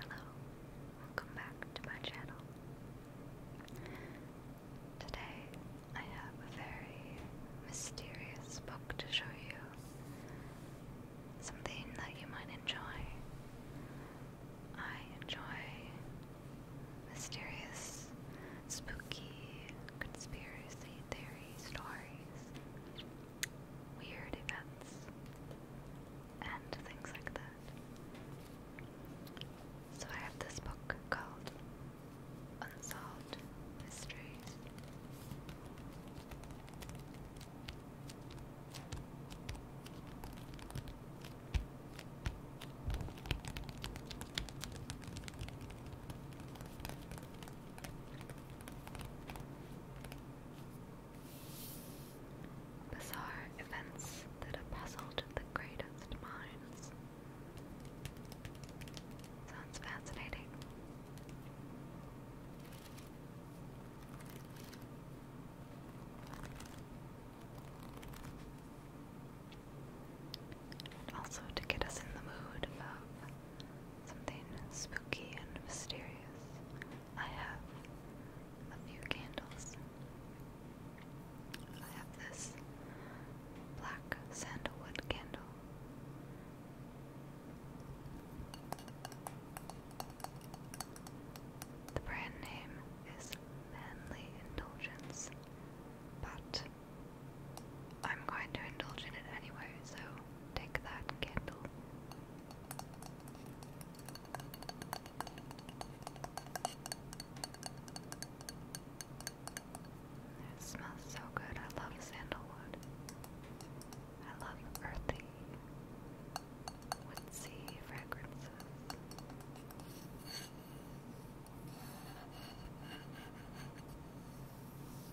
Hello, welcome back to my channel. Today I have a very mysterious book to show you. Something that you might enjoy. I enjoy mysterious, spooky, conspiracy theory stories weird events and things like that. So I have this book called Unsolved Mysteries. Bizarre events that have puzzled the greatest minds. Sounds fascinating. also to get us in the mood of something spooky and mysterious. I have a few candles. I have this black sandalwood candle. The brand name is Manly Indulgence, but I'm going to indulge in it anyway, so take that candle it smells so good. I love sandalwood. I love earthy, woodsy fragrances.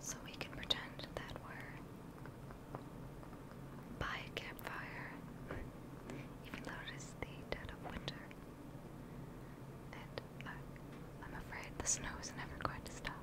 So we can pretend that we're by a campfire, even though it is the dead of winter. And I, I'm afraid the snow is never going to stop.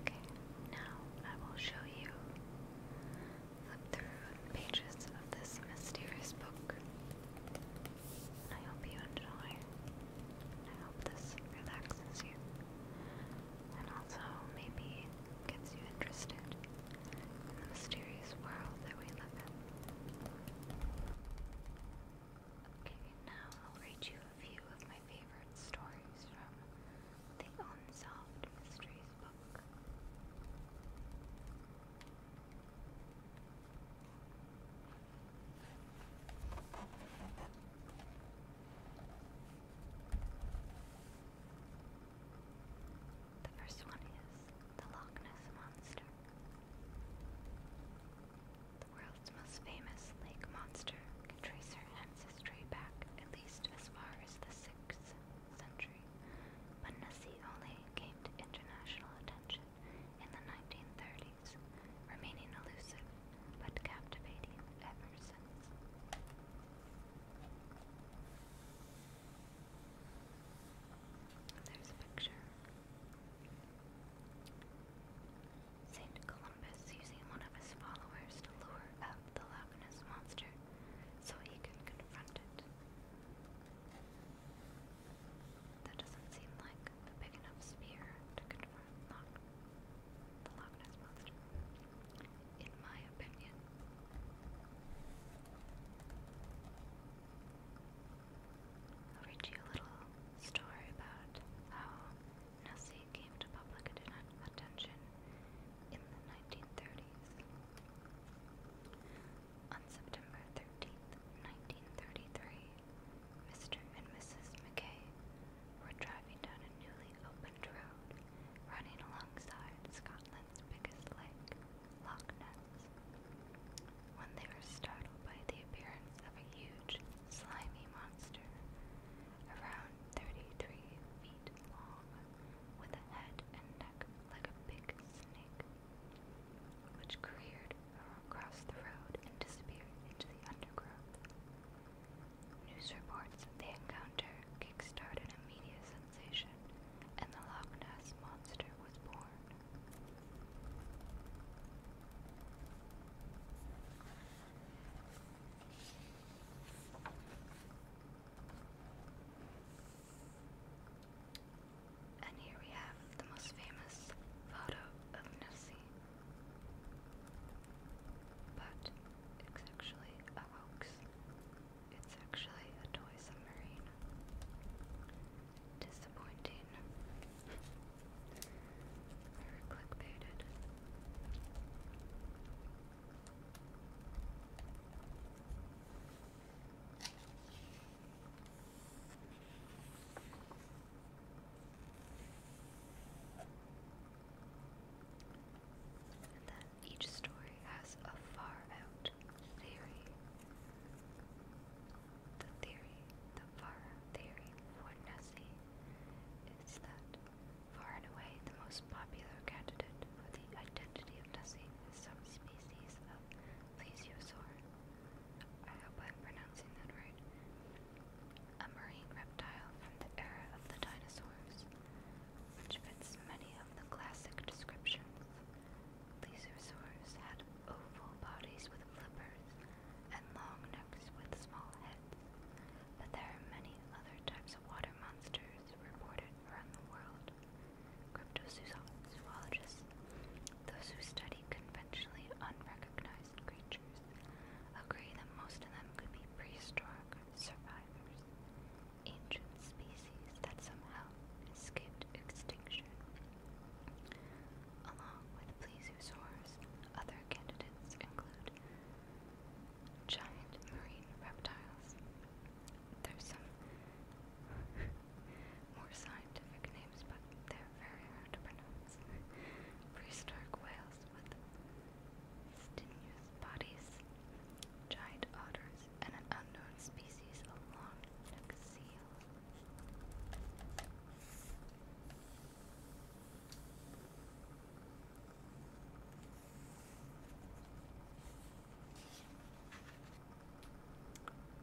Okay, now I will show you through pages of this mysterious book. I hope you enjoy this relaxes you and also maybe gets you interested in the mysterious world that we live in. Okay, now I'll read you a few of my favorite stories from the Unsolved Mysteries book. The first one is the Loch Ness Monster. The world's most famous lake monster can trace her ancestry back at least as far as the 6th century, but Nessie only came to international attention in the 1930s remaining elusive but captivating ever since. There's a picture. Saint Columbus using one of his followers to lure out the Loch Ness monster so he can confront it. That doesn't seem like a big enough spear to confront. Loch, the Loch Ness Monster, in my opinion. I'll read you a little story about how Nessie came to public attention in the 1930s. On September 13th, 1933, Mr. and Mrs. McKay were driving down a newly opened road running alongside Scotland's biggest lake, Loch Ness, when they were startled by the appearance of a huge, slimy monster, around 33 feet long, with a head and neck like a big snake, which careered across the road and disappeared into the undergrowth. News reports that the encounter kick-started a media sensation, and the Loch Ness monster was born. And here we have the most famous photo of Nessie. But it's actually a hoax. It's actually a toy submarine. Disappointing. we And then each story has a far out theory. The theory, the far out theory for Nessie is that far and away the most popular candidate for the identity of Nessie is some species of plesiosaur. I hope I'm pronouncing that right a marine reptile from the era of the dinosaurs, which fits many of the classic descriptions. Plesiosaurs had oval bodies with flippers and long necks with small heads, but there are many other types of water monsters reported around the world. Cryptozoologists, those who study conventionally unrecognized fossilized creatures agree that most of them could be prehistoric survivors, ancient species that somehow escaped extinction. Along with plesiosaurs, other candidates include giant marine reptiles. There's some more scientific names, but they're very hard to pronounce. Prehistoric whales, with stinous bodies, giant otters, and an unknown species along long-necked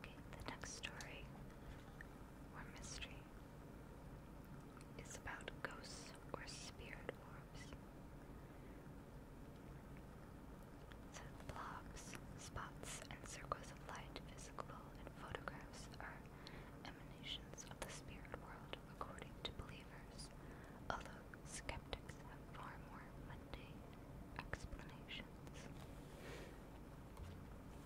Okay, the next story or mystery. It's about ghosts or spirit orbs. So spots, and circles of light, physical and photographs are emanations of the spirit world according to believers, although skeptics have far more mundane explanations. And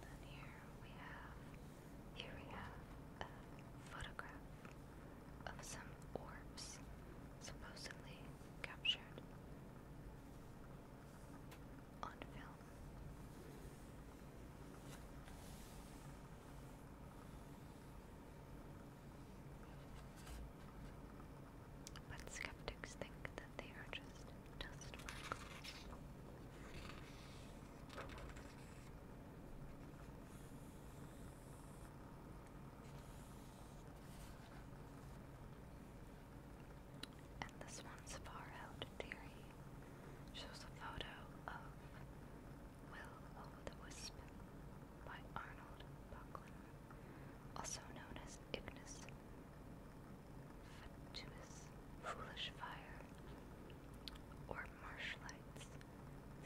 then here we have here we have a photograph of some orbs supposedly captured on film. But skeptics think that they just And this one's far out theory shows a photo of Will O Wisp by Arnold Buckland, also known as Ignis fatuous, foolish fire, or marsh lights.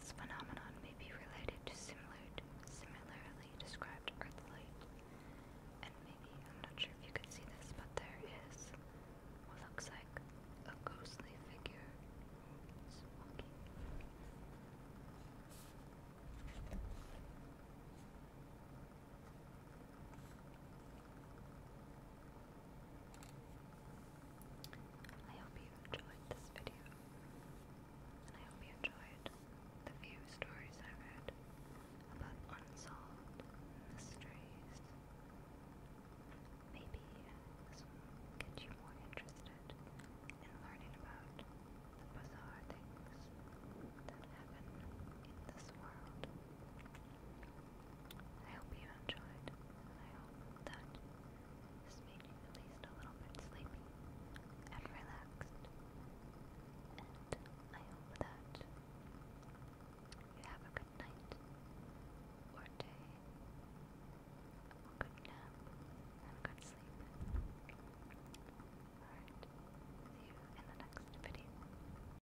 This phenomenon may be related to similar, similarly described earth light. And maybe, I'm not sure if you can see this, but there is what looks like a ghostly figure walking. I hope you enjoyed this video, and I hope you enjoyed the few stories I read about unsolved mysteries. Maybe this will get you more interested in learning about the bizarre things that happen in this world. I hope you enjoyed. I hope that this made you at least a little bit sleepy and relaxed. And I hope that you have a good night or day, a good nap, and good sleep. Alright, see you in the next video.